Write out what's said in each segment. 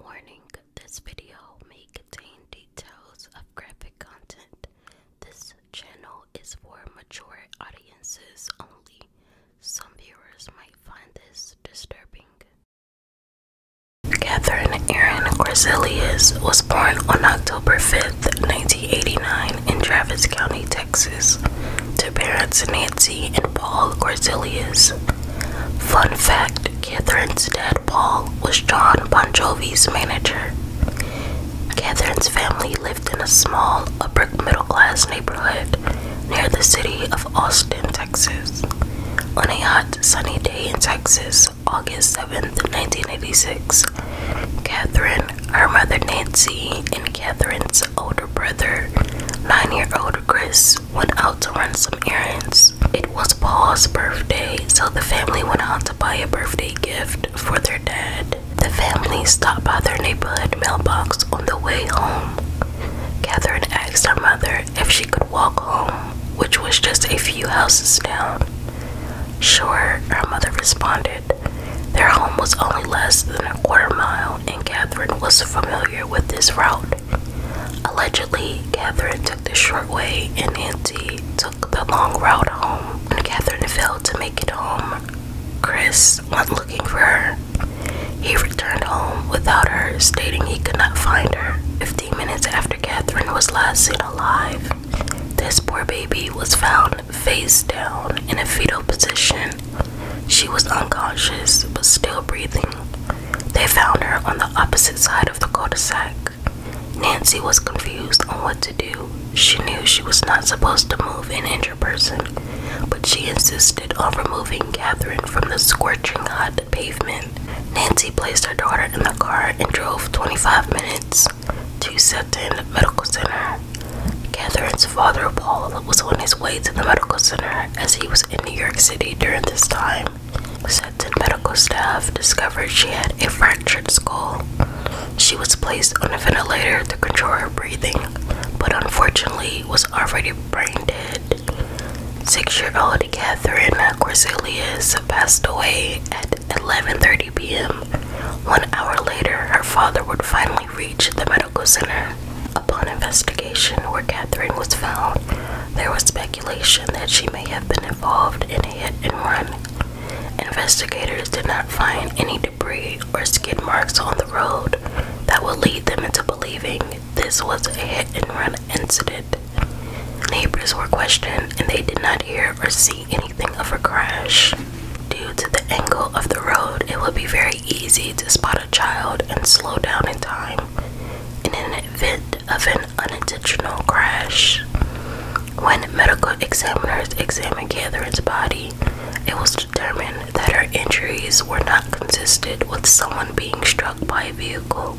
Warning, this video may contain details of graphic content. This channel is for mature audiences only. Some viewers might find this disturbing. Catherine Erin Corzilius was born on October 5th, 1989 in Travis County, Texas, to parents Nancy and Paul Corzilius. Fun fact Catherine's dad, Paul, was John Bon Jovi's manager. Catherine's family lived in a small, upper middle class neighborhood near the city of Austin, Texas. On a hot, sunny day in Texas, August 7, 1986, Catherine, her mother Nancy, and Catherine's older brother, nine year old Chris, went out to run some errands. It was Paul's birthday, so the family went out to buy a birthday gift for their dad. The family stopped by their neighborhood mailbox on the way home. Catherine asked her mother if she could walk home, which was just a few houses down. Sure, her mother responded. Their home was only less than a quarter mile, and Catherine was familiar with this route. Allegedly, Catherine took the short way and Nancy took the long route home. When Catherine failed to make it home, Chris went looking for her. He returned home without her, stating he could not find her. 15 minutes after Catherine was last seen alive, this poor baby was found face down in a fetal position. She was unconscious but still breathing. They found her on the opposite side of the cul-de-sac. Nancy was confused on what to do. She knew she was not supposed to move an injured person, but she insisted on removing Catherine from the scorching hot pavement. Nancy placed her daughter in the car and drove 25 minutes to Seton Medical Center. Catherine's father, Paul, was on his way to the medical center as he was in New York City during this time. Stetson medical staff discovered she had a fractured skull. She was placed on a ventilator to control her breathing, but unfortunately was already brain dead. Six-year-old Catherine Corselius passed away at 11:30 p.m. One hour later, her father would finally reach the center. Upon investigation, where Catherine was found, there was speculation that she may have been involved in a hit and run. Investigators did not find any debris or skid marks on the road that would lead them into believing this was a hit and run incident. Neighbors were questioned and they did not hear or see anything of a crash. Due to the angle of the road, it would be very easy to spot a child and slow down in time in an event of an unintentional crash. When medical examiners examined Catherine's body, it was determined that her injuries were not consistent with someone being struck by a vehicle.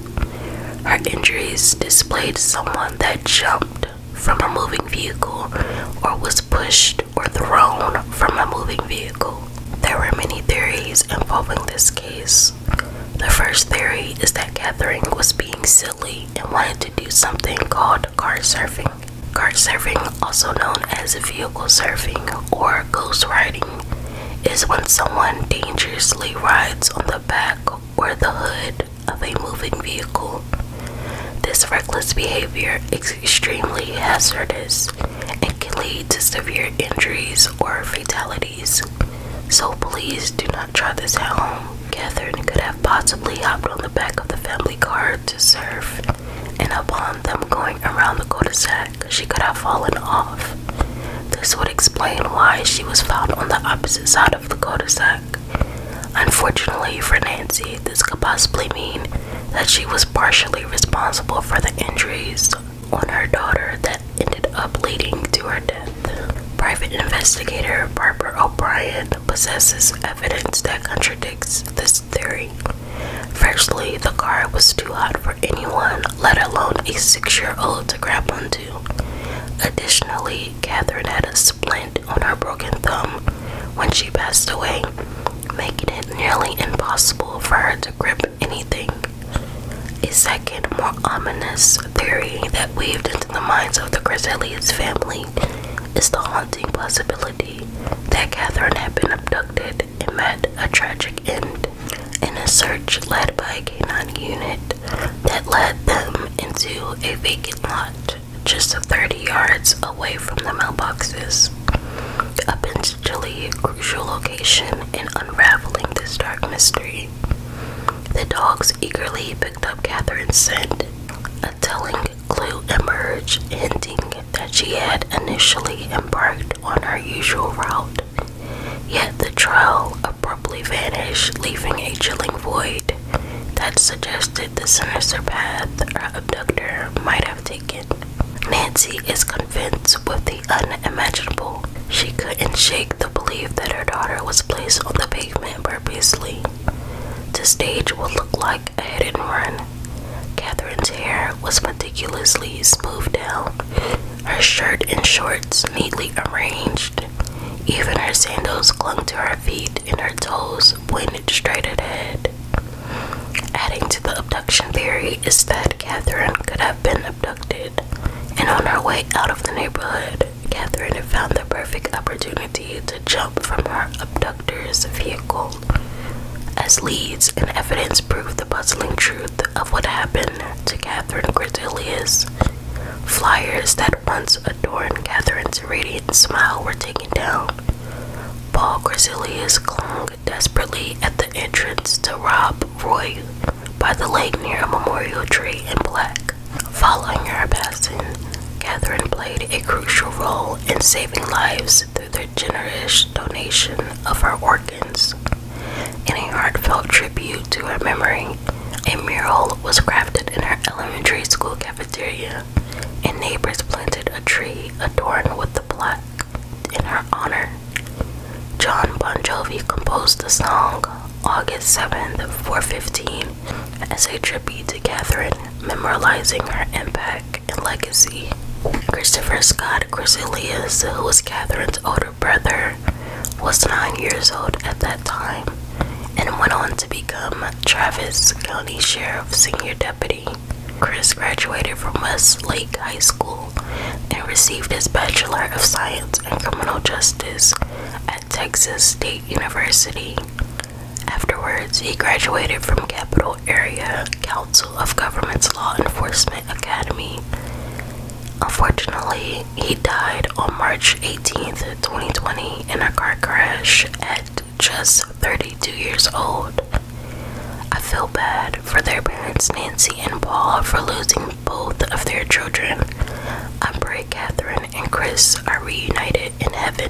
Her injuries displayed someone that jumped from a moving vehicle or was pushed or thrown from a moving vehicle. There were many theories involving this case. The first theory is that Catherine was being silly and wanted to do something called car surfing. Car surfing, also known as vehicle surfing or ghost riding, is when someone dangerously rides on the back or the hood of a moving vehicle. This reckless behavior is extremely hazardous it can lead to severe injuries or fatalities. So please do not try this at home. Catherine could have possibly hopped on the back of the family car to surf, and upon them going around the cul-de-sac, she could have fallen off. This would explain why she was found on the opposite side of the cul-de-sac. Unfortunately for Nancy, this could possibly mean that she was partially responsible for the injuries on her daughter that ended up leading to her death. Private investigator Barbara O'Brien possesses evidence that contradicts this theory. Firstly, the car was too hot for anyone, let alone a six year old, to grab onto. Additionally, Catherine had a splint on her broken thumb when she passed away, making it nearly impossible for her to grip anything. A second, more ominous theory that weaved into the minds of the Griselli's family is the haunting possibility that Catherine had been abducted and met a tragic end in a search led by a canine unit that led them into a vacant lot just 30 yards away from the mailboxes. Up into Chile, crucial location in unraveling this dark mystery. The dogs eagerly picked up Catherine's scent. A telling clue emerged, hinting that she had initially embarked on her usual route. Yet the trail abruptly vanished, leaving a chilling void that suggested the sinister path her abductor might have. Nancy is convinced with the unimaginable. She couldn't shake the belief that her daughter was placed on the pavement purposely. The stage would look like a hit and run. Catherine's hair was meticulously smoothed down, her shirt and shorts neatly arranged. Even her sandals clung to her feet, and her toes pointed straight ahead. Adding to the abduction theory is that Catherine could have been abducted, and on her way out of the neighborhood, Catherine found the perfect opportunity to jump from her abductor's vehicle. As leads and evidence prove the puzzling truth of what happened to Catherine Gridelius, flyers that once and Catherine's radiant smile were taken down. Paul Grisilius clung desperately at the entrance to rob Roy by the lake near a memorial tree in black. Following her passing, Catherine played a crucial role in saving lives through the generous donation of her organs. In a heartfelt tribute to her memory, a mural was crafted in her elementary school cafeteria Georgia, and neighbors planted a tree adorned with the plaque in her honor. John Bon Jovi composed the song August 7th, 415, as a tribute to Catherine, memorializing her impact and legacy. Christopher Scott Griselius, who was Catherine's older brother, was nine years old at that time and went on to be become Travis County Sheriff Senior Deputy. Chris graduated from Westlake High School and received his Bachelor of Science in Criminal Justice at Texas State University. Afterwards, he graduated from Capital Area Council of Governments Law Enforcement Academy. Unfortunately, he died on March 18th. 2020 in a car crash at just 32 years old. I feel bad for their parents, Nancy and Paul, for losing both of their children. I pray Catherine and Chris are reunited in heaven.